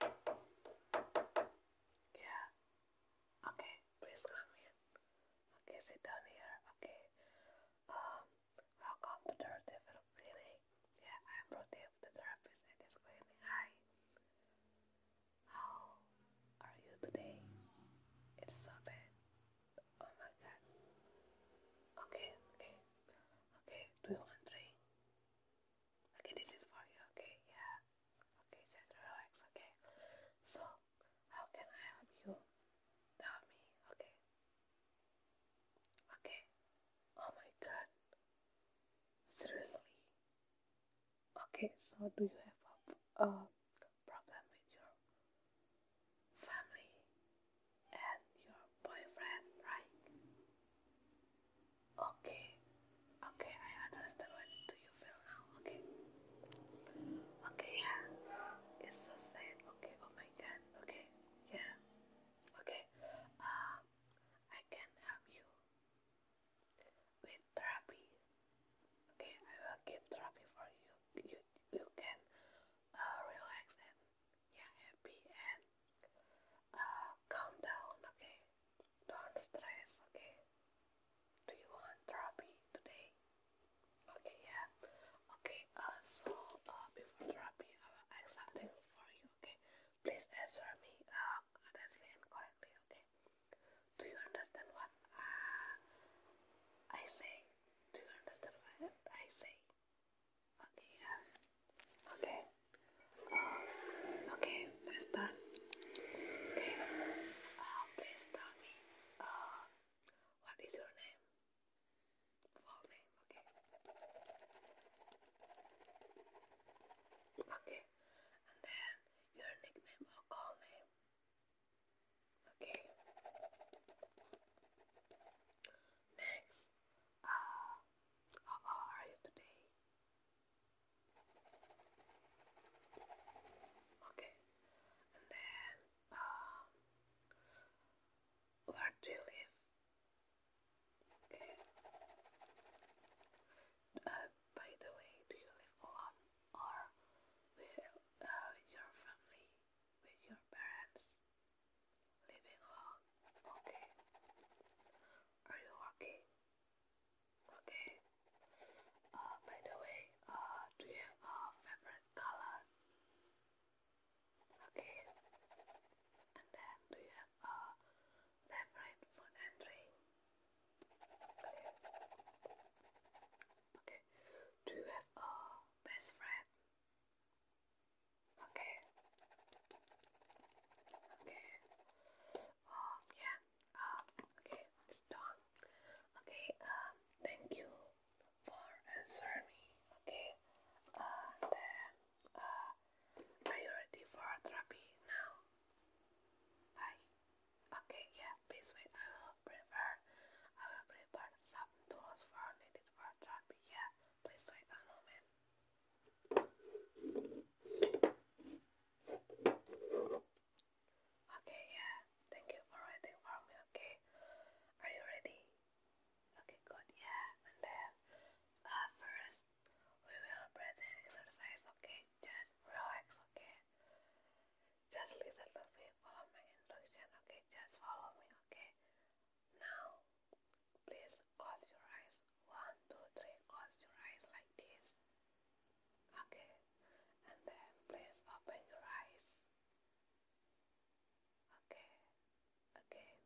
Yeah. Okay, please come here. Okay, sit down here. Okay. Um, welcome to the Devil Clinic. Yeah, I am Rodev, therapist at this clinic. Hi. How are you today? It's so bad. Oh my god. Okay, okay. Okay, do Okay, this is for you, okay? Yeah. Okay, just relax, okay? So, how can I help you? Tell me, okay? Okay. Oh my god. Seriously? Okay, so do you have a, a problem with your family and your boyfriend, right? Okay, okay, I understand what do you feel now, okay? Okay, yeah, it's so sad, okay, oh my god, okay, yeah, okay, um, I can help you with therapy, okay, I will give therapy for you, you, you can uh, relax and yeah, happy and uh, calm down, okay? Don't stress, okay? Do you want therapy today? Okay, yeah. Okay, uh, so uh, before therapy, uh, I will ask something for you, okay? Please answer me uh, honestly and correctly, okay? Do you understand what uh, I say? Do you understand what I say? Okay, Okay. Um, okay, let's Okay. Uh, please tell me, uh, what is your name? Full name, okay. Okay. And then your nickname or call name. Okay. Next, uh, how are you today? Okay, and then, um, where do you live? Okay. Uh, by the way, do you live alone or with uh, your family, with your parents? leaving Okay. Are you okay? Okay. Uh, by the way, uh, do you have a favorite color? Okay. And then, do you have a favorite food and drink? Okay. Okay. Do you have a best friend? Okay. Okay. Um, yeah. Um, okay, it's done. Okay, um, thank you for answering Okay. Uh, uh, are you ready for therapy now? Bye. Okay, yeah basically I will prepare I will prepare some tools for needed for job. please wait a moment. Okay, yeah, thank you for waiting for me, okay? Are you ready? Okay, good, yeah, and then uh, first we will breathing exercise, okay? Just relax, okay? just listen to me, follow my instruction, okay? Just follow me, okay? Now, please close your eyes. One, two, three, close your eyes like this. Okay? And then please open your eyes. Okay? Again,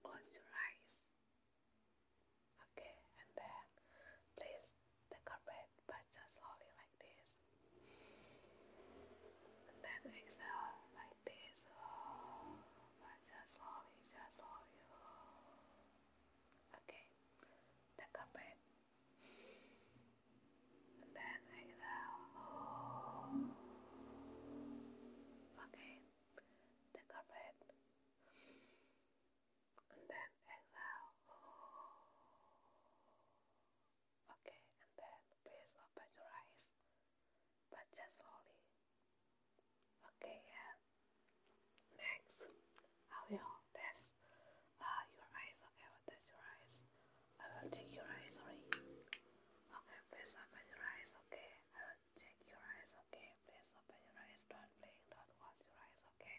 close your eyes. Okay, and then please take a breath but just slowly like this. And then exhale like this. Oh, but just slowly, just slowly. Okay, take a breath. And then exhale. Okay, take a breath and then exhale. Okay, and then please open your eyes, but just slowly. Okay, Next, I will test uh, your eyes. Okay, test your eyes. I will check your eyes. Sorry. Okay, please open your eyes. Okay, I will check your eyes. Okay, please open your eyes. Don't blink. Don't close your eyes. Okay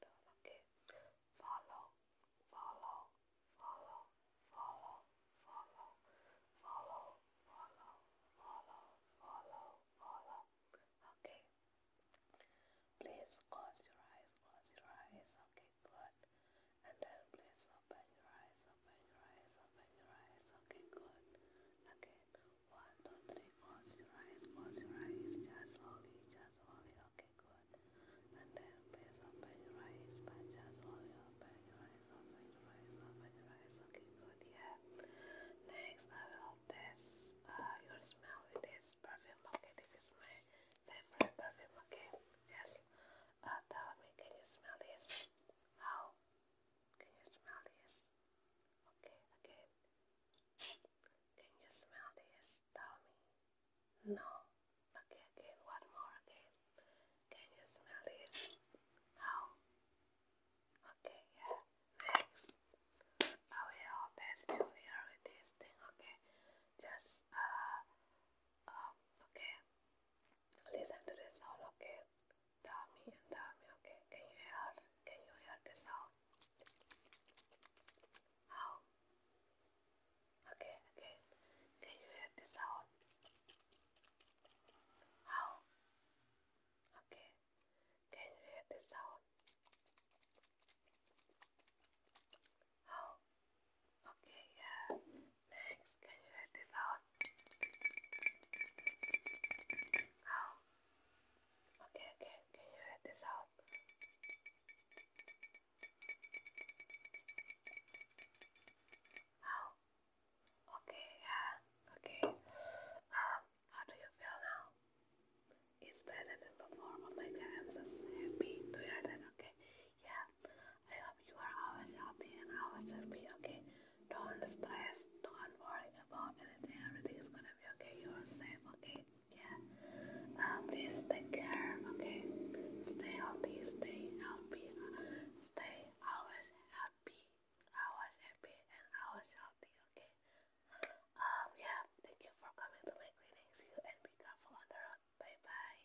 down, down. Follow, follow, follow, follow, follow, follow, follow, follow, follow, follow. Okay. Please close your eyes, close your eyes. Okay, good. And then please open your eyes, open your eyes, open your eyes. Okay, good. Again, one, two, three, just slowly, just slowly, okay, good. And then please open your eyes, but just slowly open your eyes, open your eyes, okay, good, yeah. Next, I will test uh, your smell with this perfume, okay, this is my favorite perfume, okay. Just uh, tell me, can you smell this? How? Can you smell this? Okay, again. Can you smell this, Tommy? No. Okay, again, one more again. Can you smell this? How? Okay, yeah. Next. I will test you here with this thing, okay? Just, uh, um, okay. Listen to the sound, okay? Dami and Dami, okay. Can you hear can you hear the sound? How? Okay, again. Can you hear the sound? How? Okay. Can you hear the sound? How? Okay, yeah. Next, can you hear the sound? Oh. Okay, okay, can you hear this out? Oh. Okay, yeah, okay. Um, how do you feel now? It's better than before. Oh my god, I'm so happy to hear that, okay? Yeah. I hope you are always healthy and always happy, okay? Don't stress. Don't worry about anything. Everything is gonna be okay. You're safe, okay? Yeah. Um, please take care, okay? Stay healthy, stay healthy, stay always happy, always happy, and always healthy, okay? Um, yeah. Thank you for coming to my clinic. See you and be careful on the road. Bye bye.